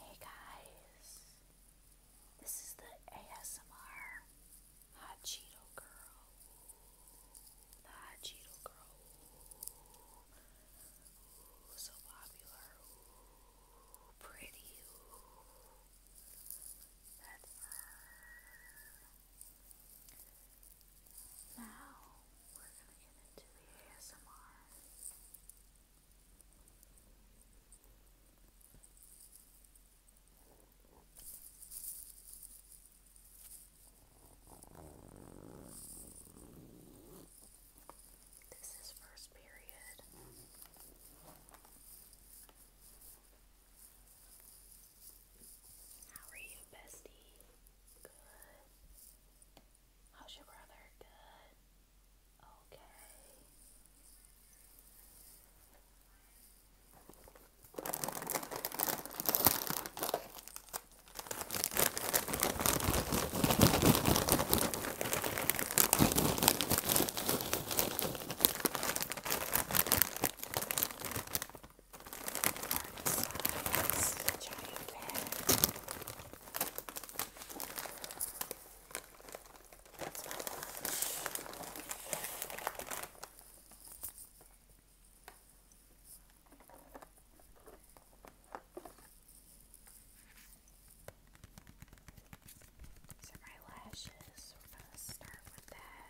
Hey guys, this is the ASMR Hot Cheeto Girl. Hot Cheeto Girl. so popular. pretty. That's now we're gonna get into the ASMR. This is first period. How are you, bestie? Good. How's your brother? Good. Okay size, giant bag. That's my lunch. So my lashes, we're going to start with that.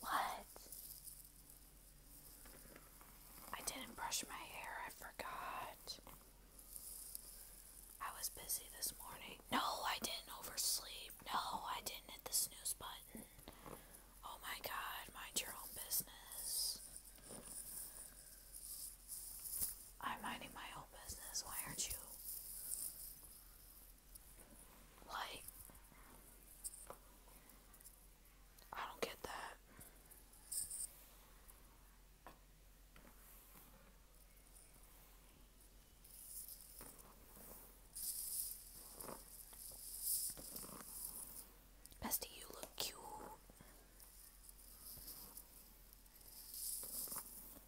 What? I didn't brush my hair, I forgot. I was busy this morning. No, I didn't oversleep. No, I didn't hit the snooze button. Oh my god, mind your own business. I'm minding my own business. Why aren't you? Like, I don't get that. Bestie, you look cute.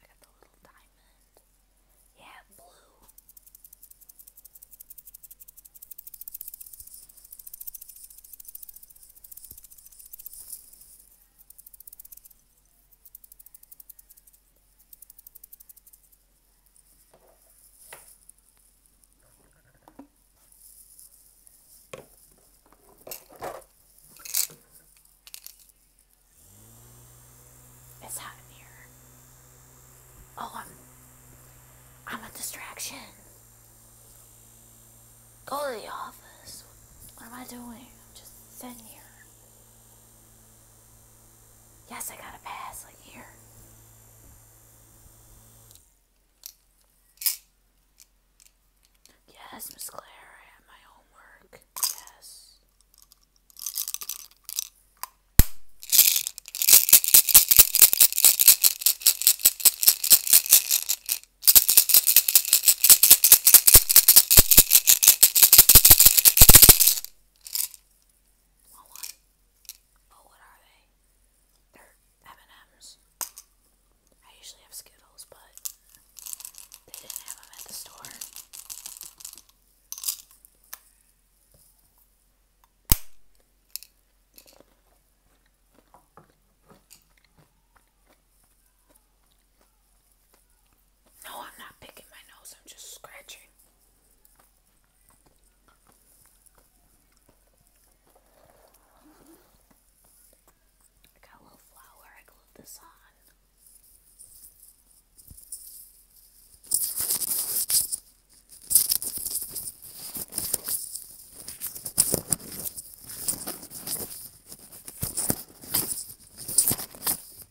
I got the little diamond. Yeah, blue. It's hot Oh, I'm, I'm a distraction. Go to the office. What am I doing? I'm just sitting here. Yes, I got a pass. Like here. Yes, Miss Claire, I have my homework. Yes. Want what are they? They're M&M's. I usually have Skittles, but they didn't have them at the store. No, I'm not picking my nose, I'm just scratching. I got a little flour, I glued this on.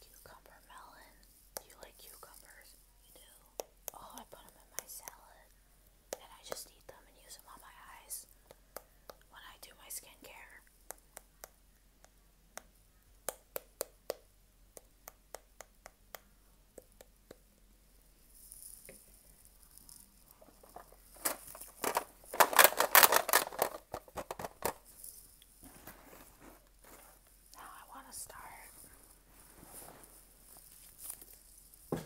Cucumber melon. you like cucumbers? You do. Oh, I put them in my salad. And I just eat them and use them on my eyes when I do my skincare. Now I want to start.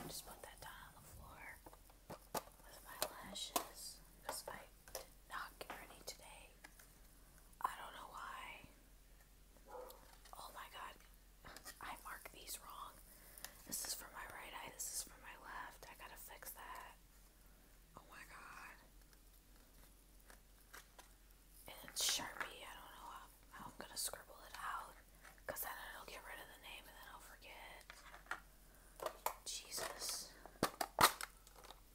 Just put that down on the floor with my lashes because I did not get ready today. I don't know why. Oh my god. I mark these wrong. This is for my right eye, this is for my left. I gotta fix that. Oh my god. And Sharpie. I don't know how, I'm gonna scribble it out. Because then it'll get rid of the name and then I'll forget. Jesus.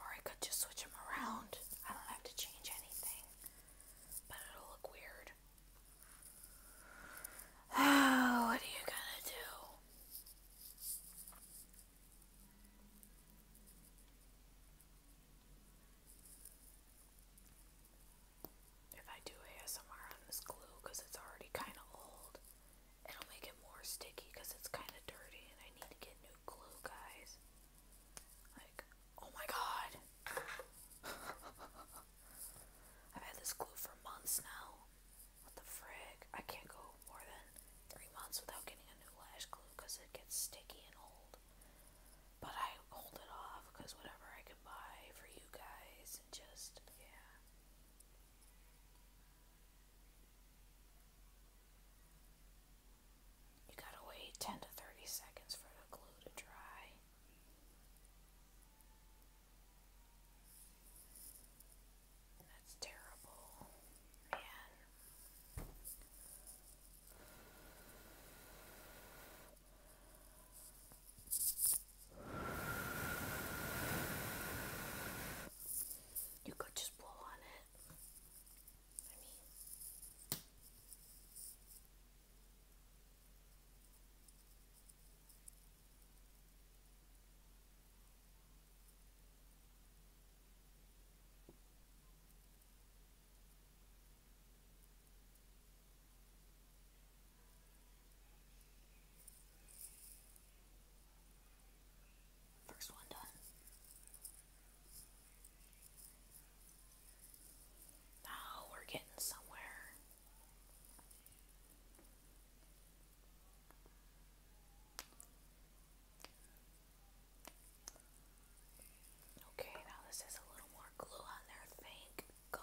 Or I could just switch them around. I don't have to change anything. But it'll look weird. Oh, what are you gonna do? If I do ASMR on this glue, because it's already kind of old, It'll make it more sticky because it's kind of dirty and I need to get new glue, guys. Like, oh my god! I've had this glue for months now. What the frig? I can't go more than three months without getting a new lash glue because it gets sticky and old. But I hold it off because whatever I can buy for you guys, and just, yeah. You gotta wait 10 to 30 seconds for the glue to dry. That's terrible, man. You could just blow on it. I mean, First one done. Now we're getting somewhere. Okay, now this is a little more glue on there. Thank God.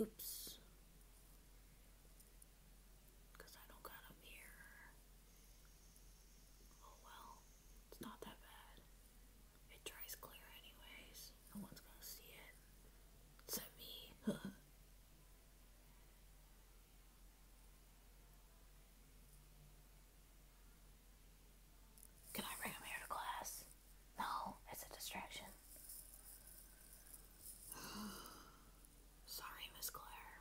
Oops. Because I don't got a mirror. Oh well, it's not that bad. It dries clear anyways. No one's gonna see it. me. Can I bring him here to class? No, it's a distraction. Sorry, Miss Claire.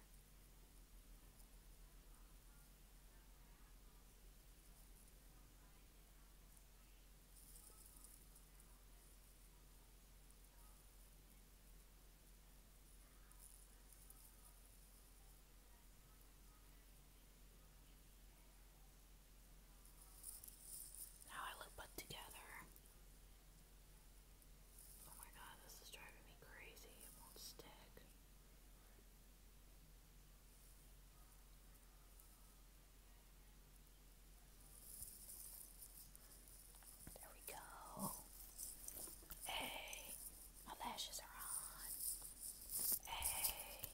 Now I look put together. Oh my god, this is driving me crazy. It won't stick. There we go. Hey, my lashes are on. Hey.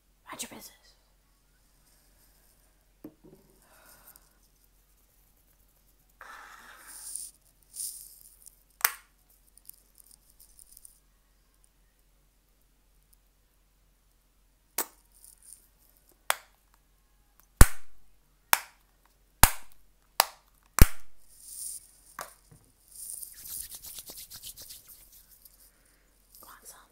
Mind your business. Want some?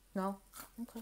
No? Okay.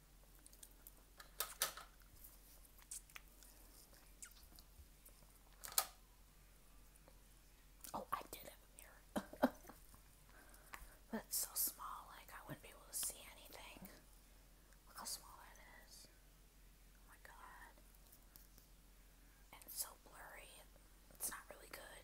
Oh, I did have a mirror. but it's so small, like I wouldn't be able to see anything. Look how small it is. Oh my god. And it's so blurry. It's not really good.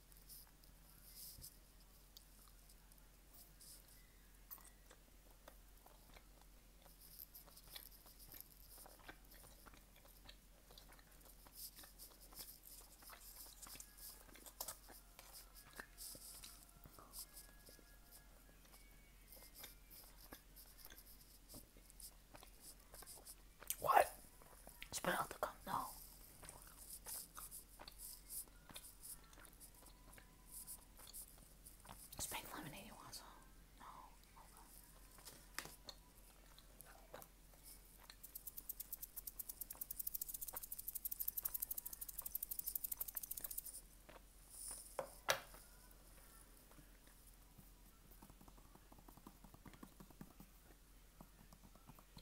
What? Spell the gun? Is pink lemonade you want some? No. Okay.